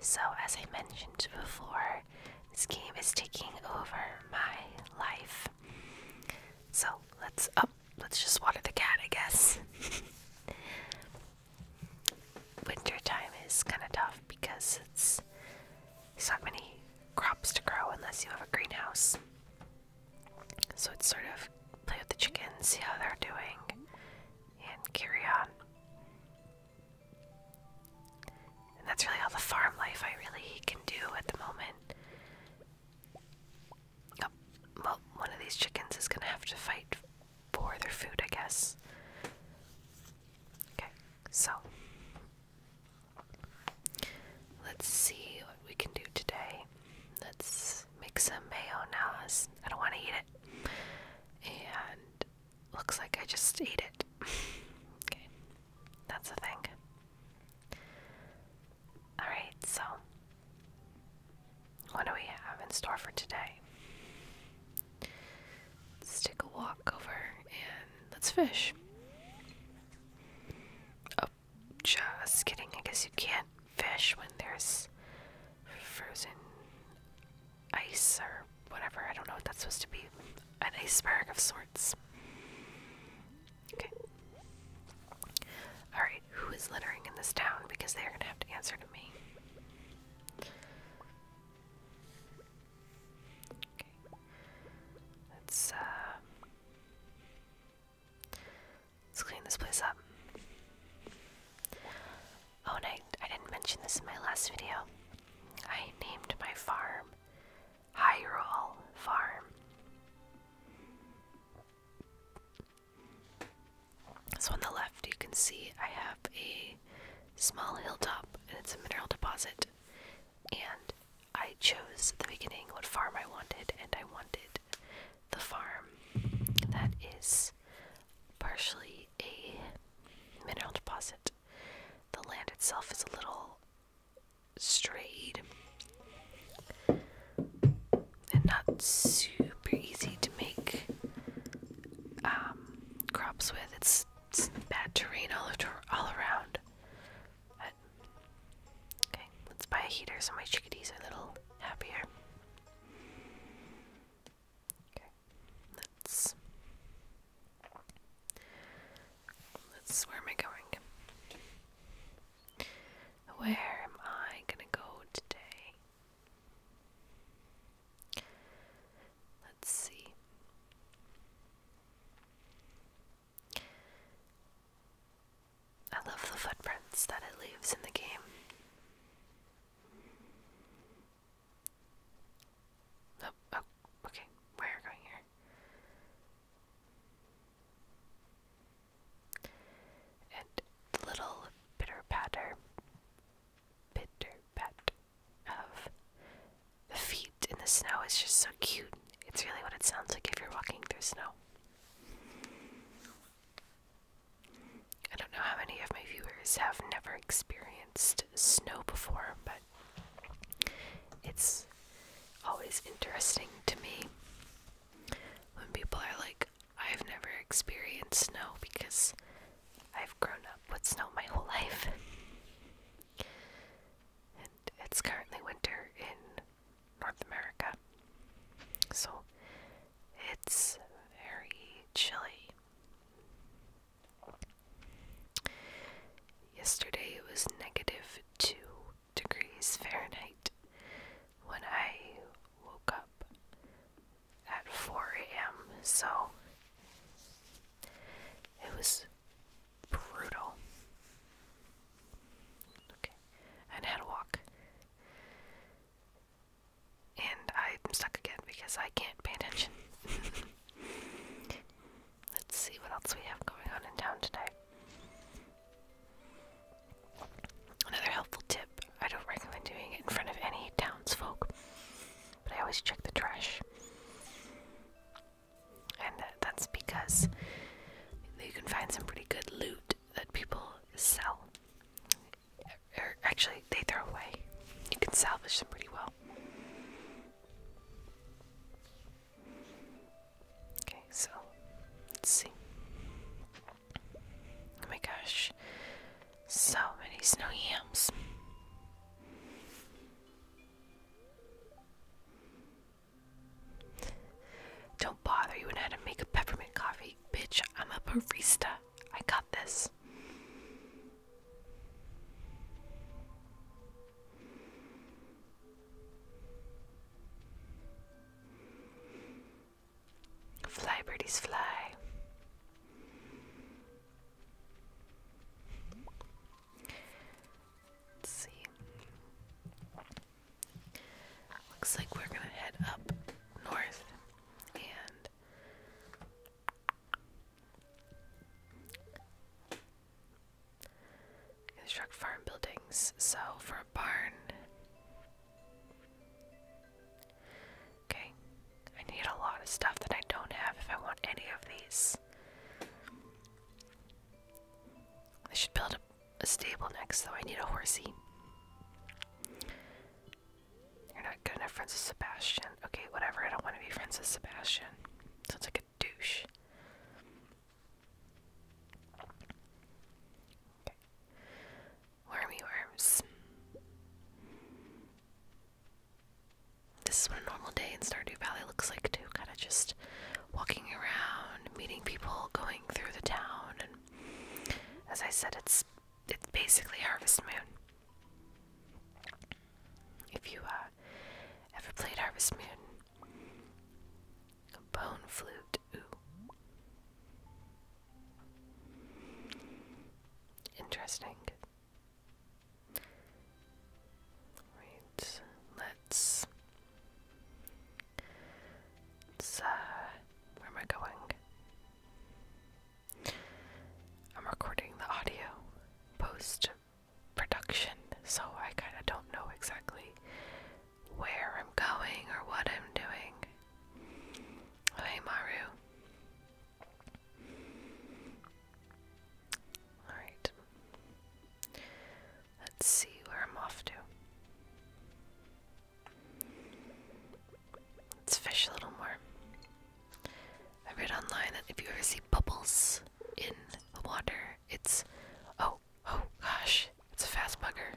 So, as I mentioned before, this game is taking over my life. So, let's up. Oh, let's just water the cat, I guess. Wintertime is kind of tough because it's not many crops to grow unless you have a greenhouse. So it's sort of play with the chickens, see how they're doing, and carry on. And that's really all the farm life I really can do at the moment. Oh, well, one of these chickens is gonna have to fight for their food, I guess. Okay, so let's see what we can do today. Let's make some mayo I don't want to eat it and looks like I just ate it. okay, that's the thing. Alright, so what do we have in store for today? Let's take a walk over and let's fish. Oh, just kidding. I guess you can not fish when there's frozen ice or whatever. I don't know what that's supposed to be. An iceberg of sorts. Okay. Alright, who is littering in this town? Because they're gonna have to answer to me. Okay. Let's, uh, Let's clean this place up. Oh, and I, I didn't mention this in my last video. I named my farm Hyrule Farm. So on the left, you can see I have a small hilltop, and it's a mineral deposit. And I chose at the beginning what farm I wanted, and I wanted the farm that is partially a mineral deposit. The land itself is a little strayed and not super easy to make um, crops with. It's, bad terrain all, all around. okay, let's buy a heater so my chickadees are a little happier. Okay, let's. Let's. Where am I going? Where am I gonna go today? Let's see. I love the footprints that it leaves in the game. Oh, oh okay, where are we going here? And little bitter patter, bitter pat of the feet in the snow is just so cute. It's really what it sounds like if you're walking through snow. I don't know how many of my viewers have never experienced snow before, but it's always interesting to me when people are like, I've never experienced snow because I've grown up with snow my whole life. and it's currently winter in North America. So it's very chilly. Yesterday it was negative 2 degrees Fahrenheit when I woke up at 4 a.m. So it was brutal. Okay and had a walk. And I'm stuck again because I can't pay attention. Let's see what else we have going on in town today. Another helpful tip I don't recommend doing it in front of any townsfolk, but I always check the trash. And that's because you can find some pretty good loot that people sell. Or actually, they throw away. You can salvage them pretty well. Okay, so let's see. Oh my gosh, so many snow yams. Don't bother you and how to make a peppermint coffee. Bitch, I'm a barista. I got this. Fly, birdies, fly. Let's see. Looks like we're gonna head up north and construct farm buildings. So, for a barn. Okay, I need a lot of stuff that I don't have if I want any of these. I should build a a stable next, though. I need a horsey. You're not good enough, friends with Sebastian. Okay, whatever. I don't want to be friends with Sebastian. Sounds like a douche. Wormy worms. This is what a normal day in Stardew Valley looks like, too. Kind of just walking around, meeting people, going through the town, and as I said, it's it's basically Harvest Moon. If you uh, ever played Harvest Moon, bone flute, ooh, interesting. Right, let's so, where am I going? I'm recording the audio post production, so I kind of don't know exactly where I'm going or what I'm doing. hey, Maru. Alright. Let's see where I'm off to. Let's fish a little more. I read online that if you ever see bubbles in the water, it's. Oh, oh gosh, it's a fast bugger.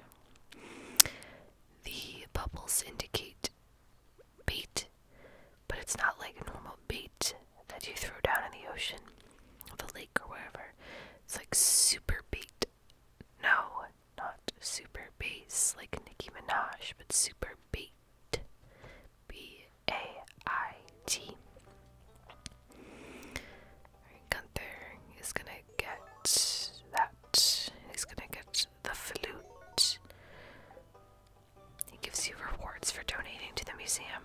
The bubbles indicate bait, but it's not like normal bait that you throw down in the ocean, the lake, or wherever. It's like super beat. No, not super It's like Nicki Minaj, but super beat. B A I T. Gunther is gonna get that. He's gonna get the flute. He gives you rewards for donating to the museum.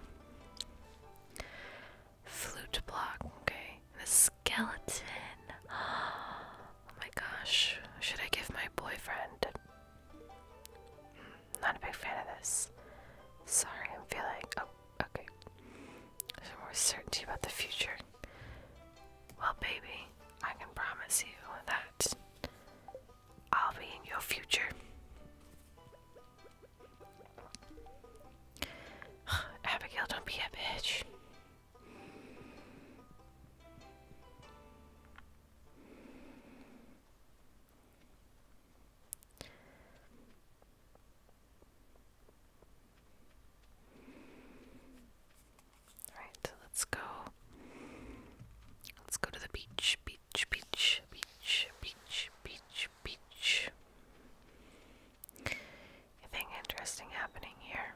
Flute block, okay. The skeleton. Oh my gosh. Should I give my boyfriend? Hmm, not a big fan of this. Sorry, I'm feeling. Oh, okay. There's more certainty about the future. Well, baby, I can promise you that I'll be in your future. Abigail, don't be a bitch. Alright, let's go. Let's go to the beach, beach, beach, beach, beach, beach, beach. Anything interesting happening here?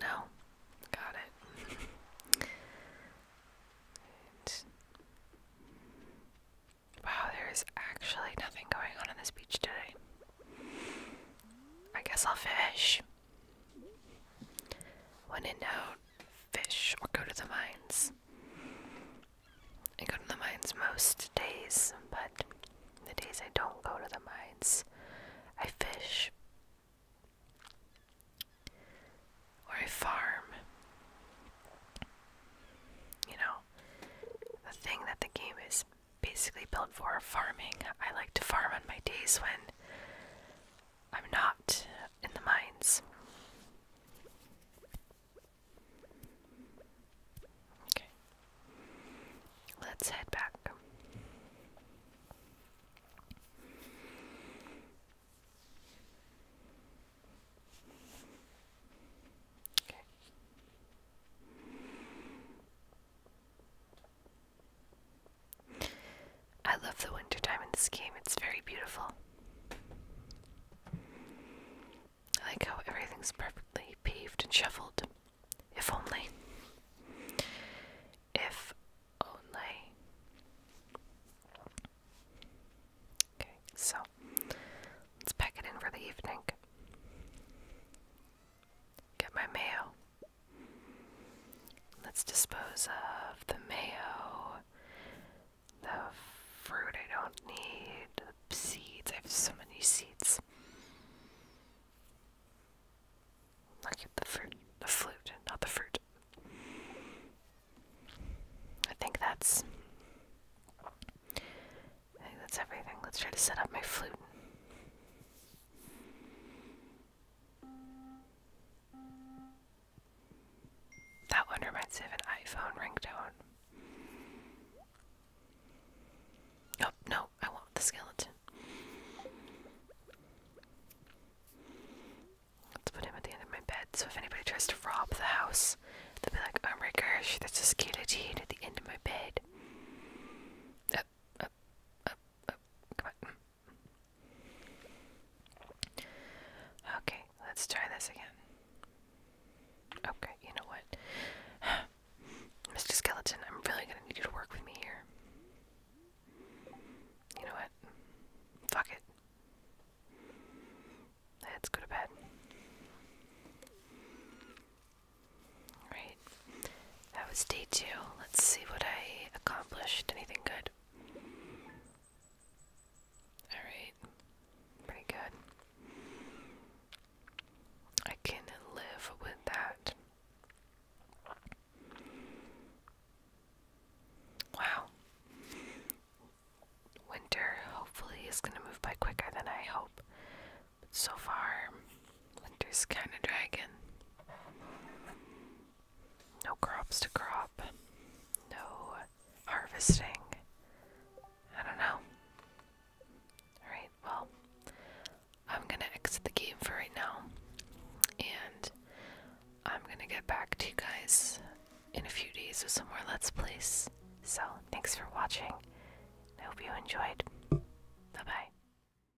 No, got it. wow, there is actually nothing going on on this beach today. I guess I'll fish. When in doubt, fish or go to the mines. I go to the mines most days, but the days I don't go to the mines, I fish or I farm. You know, the thing that the game is basically built for farming. I like to farm on my days when I'm not in the mines. Okay. Let's head back. Okay. I love the wintertime in this game, it's very beautiful. I like how everything's perfectly paved and shuffled. If only. If only. Okay, so let's pack it in for the evening. Get my mayo. Let's dispose of the mayo, the fruit I don't need, the seeds. I have so many seeds. I'll the fruit, the flute, not the fruit. I think that's. I think that's everything. Let's try to set up my flute. That one reminds me of an iPhone ringtone. Oh, no, I want the skeleton. Let's put him at the end of my bed so if anybody tries to rob the house, they'll be like, oh my gosh, there's a skeleton at the end of my bed. Up, up, up, up. Come on. Okay, let's try this again. Okay, you know what? Mr. Skeleton, I'm really gonna need you to work with me here. You know what? Fuck it. Let's go to bed. Right. That was day two. Let's see what I accomplished. Anything good? Alright. Pretty good. I can live with that. Wow. Winter hopefully is going to move by quicker than I hope. so far, winter's kind of dragging no crops to crop, no harvesting. I don't know. Alright, well, I'm gonna exit the game for right now, and I'm gonna get back to you guys in a few days with some more Let's Plays. So, thanks for watching. I hope you enjoyed. Bye bye.